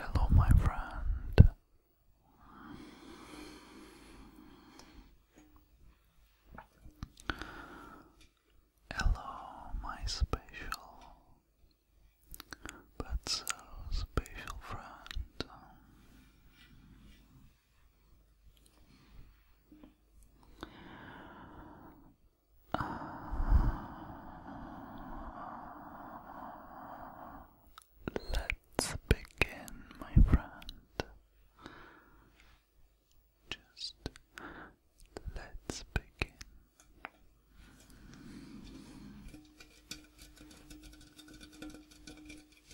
Hello, my friend. Hello, my special, but so special friend let's begin, my friend. Just let's begin.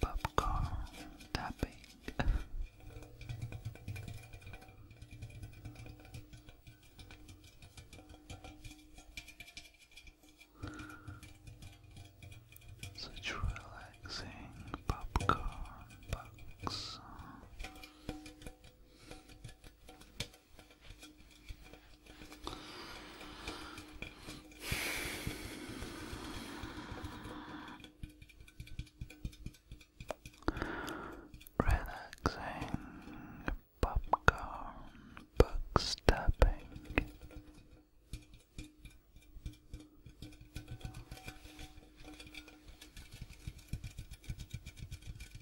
popcorn tapping. Such relaxing popcorn box. Relaxing popcorn book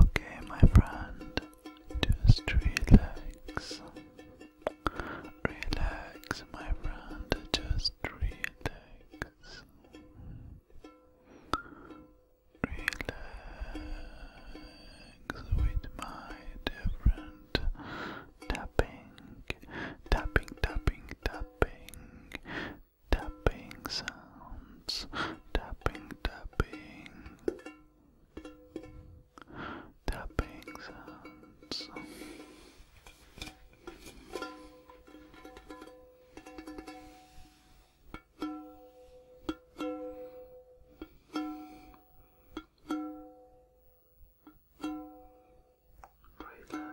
Okay, my friend, just relax. Relax, my friend, just relax. Relax with my different tapping, tapping, tapping, tapping, tapping sounds, tapping, tapping, tapping sounds. Relax.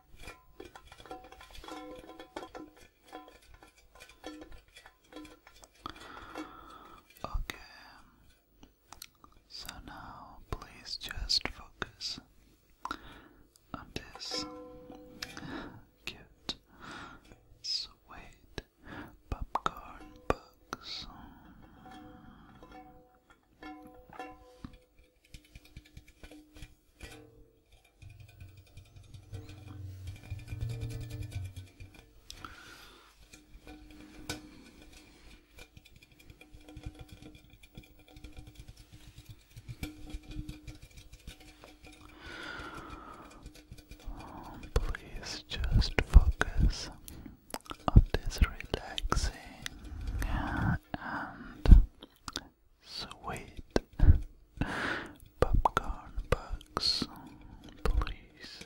Okay. So now please just focus on this cute sweet popcorn box. Oh, please just focus on this relaxing and Sweet popcorn box, please.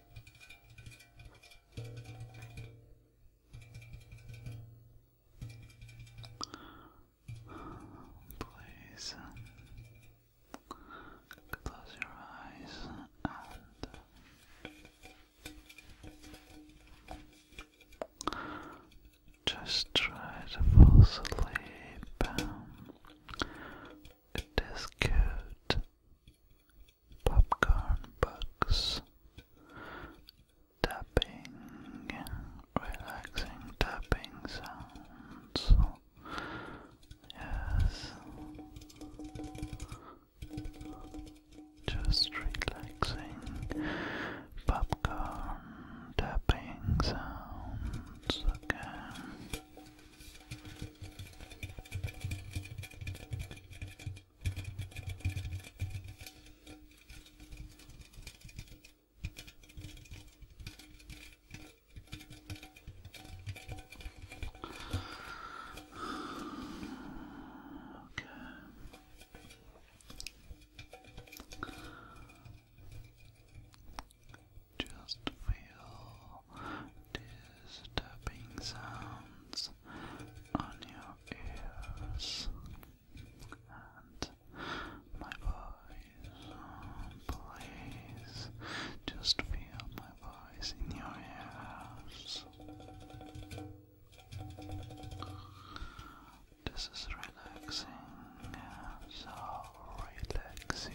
Please close your eyes and just try to fall asleep. It is good popcorn bugs, tapping, relaxing tapping sounds. Yes, just relaxing popcorn tapping sounds again. Okay. Just feel this tapping sounds on your ears and my voice. Oh, please just feel my voice in your ears. This is relaxing, so relaxing.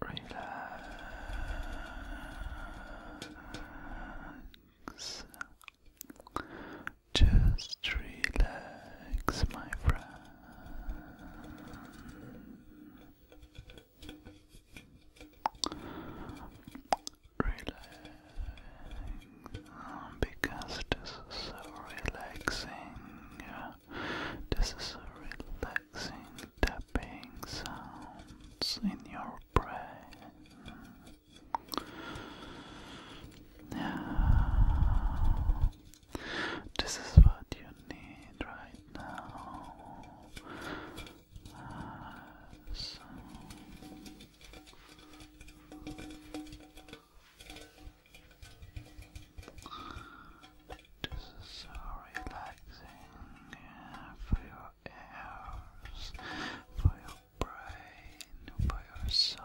Relax. Just relax, my friend. Relax, because this is so relaxing. This is a relaxing tapping sounds in your brain. This is what you need right now. Uh, This is so relaxing for your ears, for your brain, for your soul.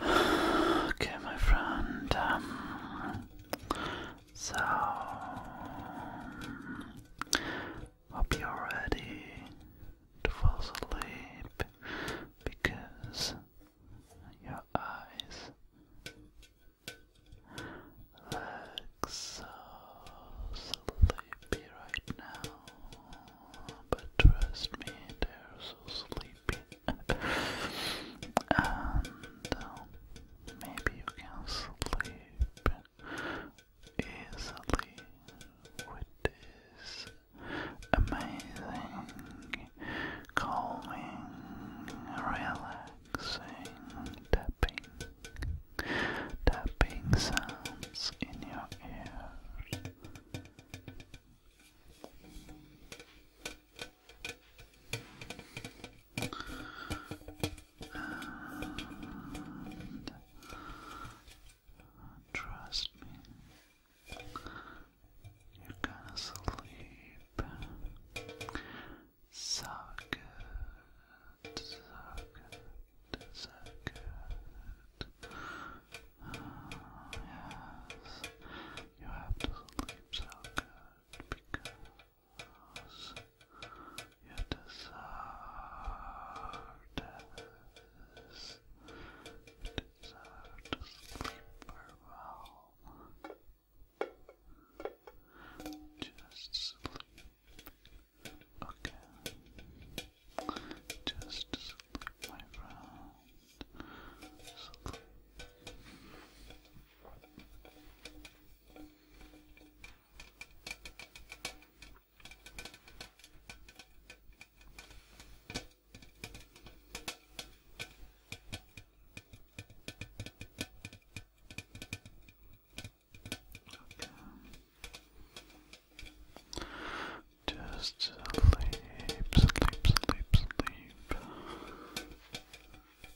Okay, my friend. Um, so, hope you're ready to fall asleep because your eyes look so sleepy right now but trust me, they're so sleepy. and um, maybe you can sleep easily with this amazing, calming, relaxing tapping. Tapping sounds in your ears. And uh, trust me, you're gonna sleep so good, so good. yes, you have to sleep so good because you deserve this. deserve to sleep well. Just sleep. Okay. Just slip my round. Okay. Just sleep, sleep, sleep, sleep.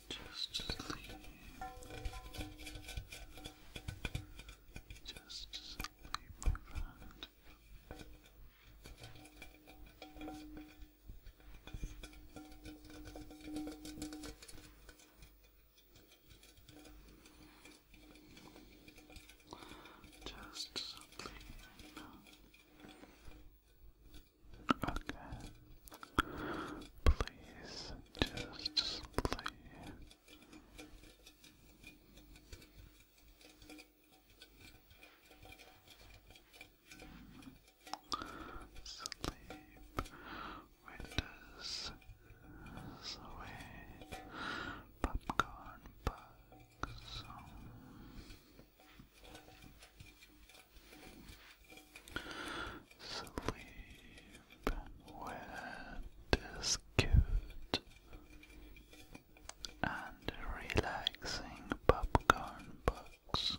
Just sleep. Just sleep, my just something. Okay. Please just play. Sleep windows away popcorn bug so. Sleep wet is good and relaxing popcorn box.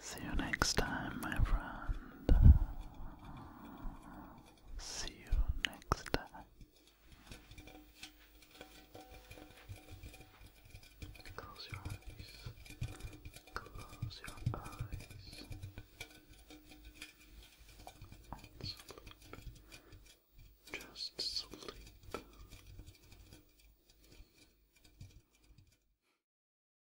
See you next time, my friend. See you next time. Close your eyes. Close your eyes. And sleep. Just sleep.